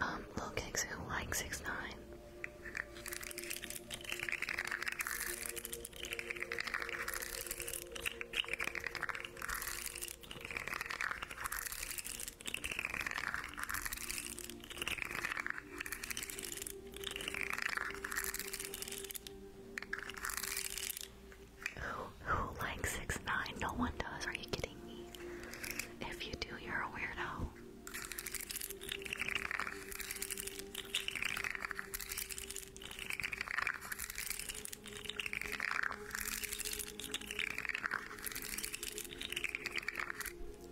um, little kids who like 6 9 who, who likes 6 9 No one does, are you kidding me? If you do, you're a weirdo.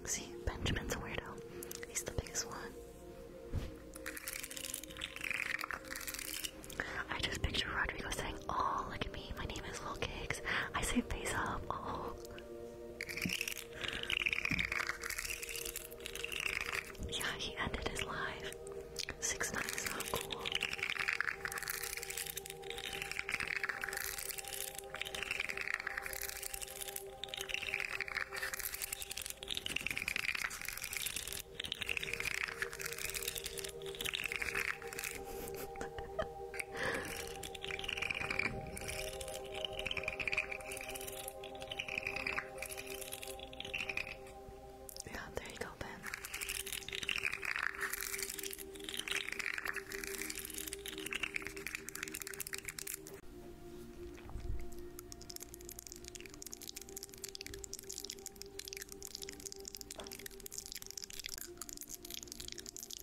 See, Benjamin's a weirdo. He's the biggest one. I just picture Rodrigo saying, Oh, look at me. My name is Lil Cakes. I say face up. Oh. Yeah, he ended his life. 6 9 is not cool. yeah, there you go, Ben.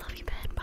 Love you, Ben. Bye.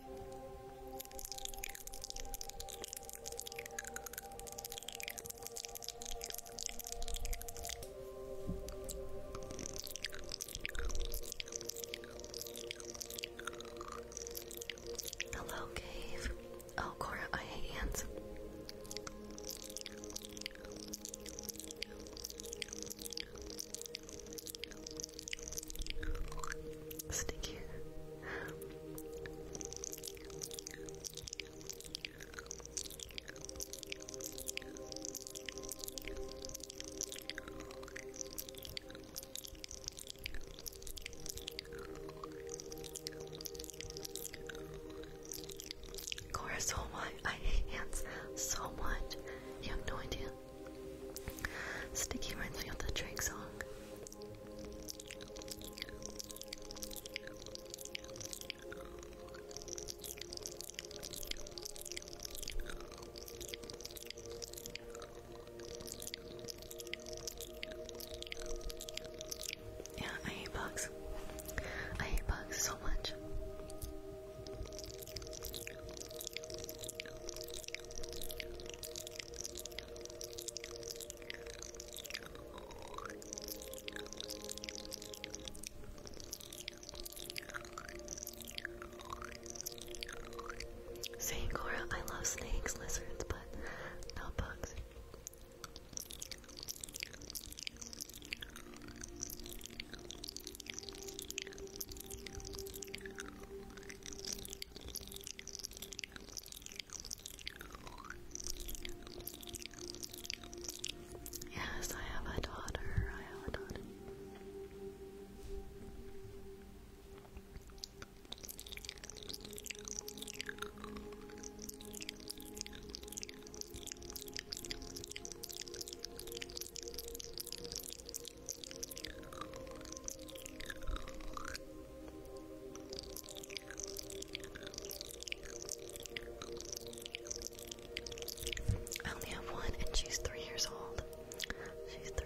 Hello, Cave. Oh, Cora, I hate hands. Sticky. Cora, so much. I hate ants so much. You have no idea. Sticky reminds me of the Drake song. Yeah, I hate bugs. I hate bugs so much. Saying Cora, I love snakes, lizards, but not bugs. Yes, I have a daughter. I have a daughter. I only have one, and she's three years old. She's three.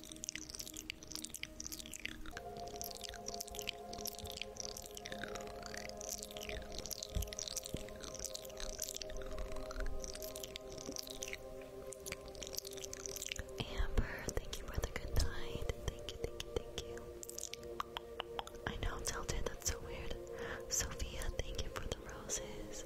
Amber, thank you for the good night. Thank you, thank you, thank you. I know, tilted, that's so weird. Sophia, thank you for the roses.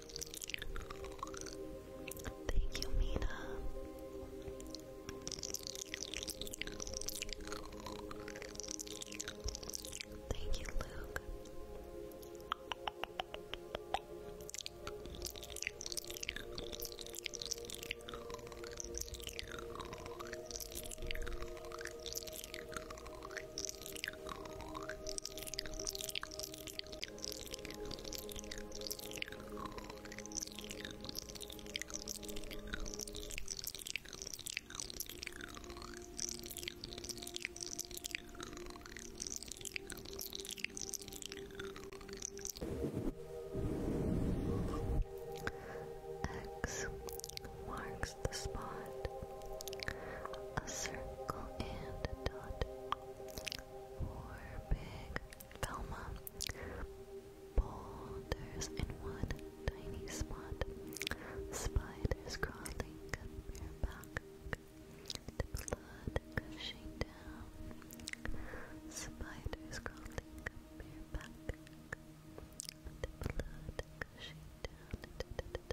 Thank you, Mina. Thank you, Luke. X marks the spot a circle and a dot, four big Velma boulders in one tiny spot, spiders crawling bareback, the blood gushing down, spiders crawling bareback, the blood gushing down.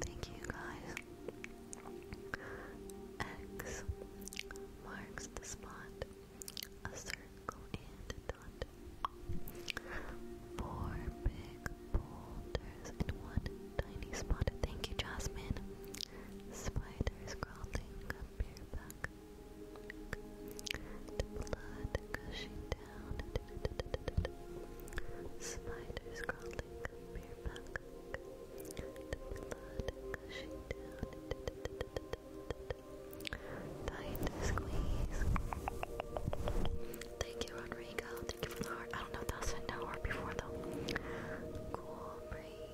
Thank you guys. X marks the spot. A circle and a dot. Four big boulders in one tiny spot. Thank you, Jasmine. Spiders crawling up your back. blood gushing down. Spiders crawling up your back. blood gushing down. Tight squeeze. Thank you, Rodrigo. Thank you for the heart. I don't know if that was an hour before though. Cool breeze.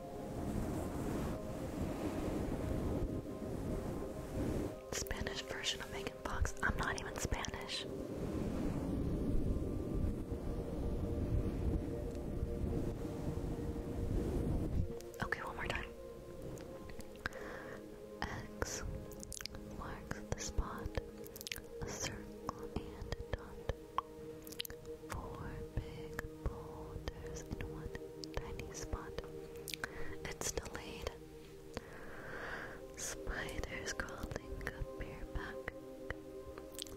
Spanish version of Megan Fox. I'm not even Spanish. Okay, one more time. X marks the spot, a circle and dot four big boulders in one tiny spot. It's delayed. Spiders crawling up your back.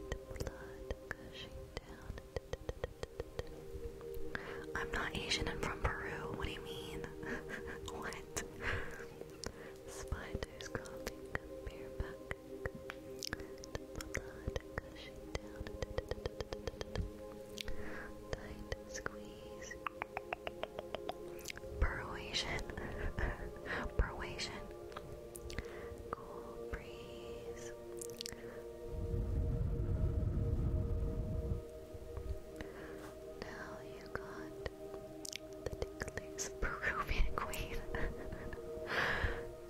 The blood gushing down. I'm not Asian and from Peru. What do you mean? what? Spiders crawling up your back gushing squeeze. Persuasion. Persuasion. Cool breeze. Now you got the ticklies Peruvian queen.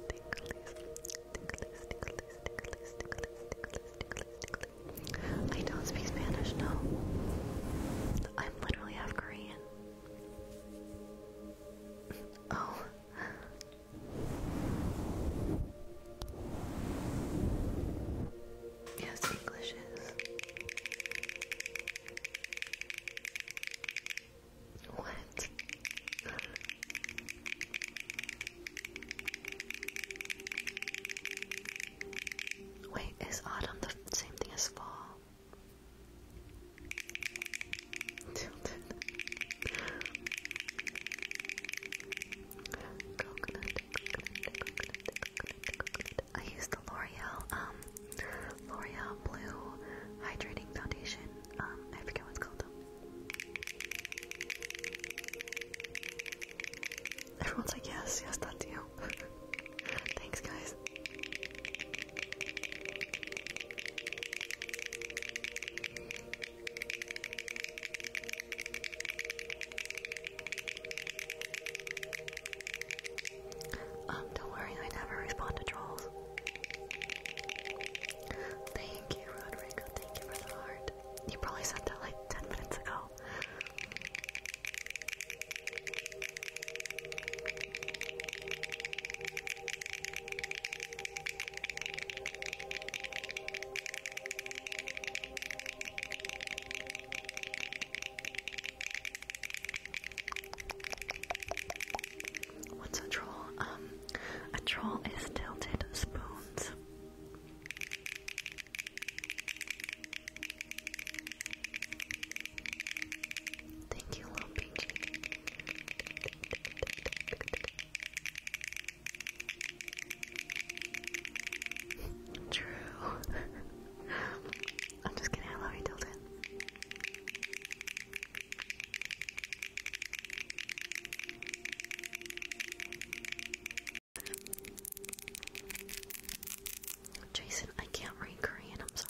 ticklies, ticklies, ticklies, ticklish, ticklish, ticklish, ticklish, ticklish. I don't speak Spanish, no. I'm literally half Korean. Oh. Yes, English is. What? Wait, is autumn the same thing as fall? coconut, coconut. I use the L'Oreal, um, L'Oreal Blue Hydrating Foundation. Um, I forget what's called them. Everyone's like, yes, yes, that's you. Thanks, guys. Um, don't worry, I never respond to trolls. They Thank you, Rodrigo. Thank you for the heart. You probably sent that like 10 minutes ago. What's a troll? Um, a troll is tilted spoons. Thank you, little peachy. True. I'm just kidding. I Tilton. Jason, I can't read Korean, I'm sorry.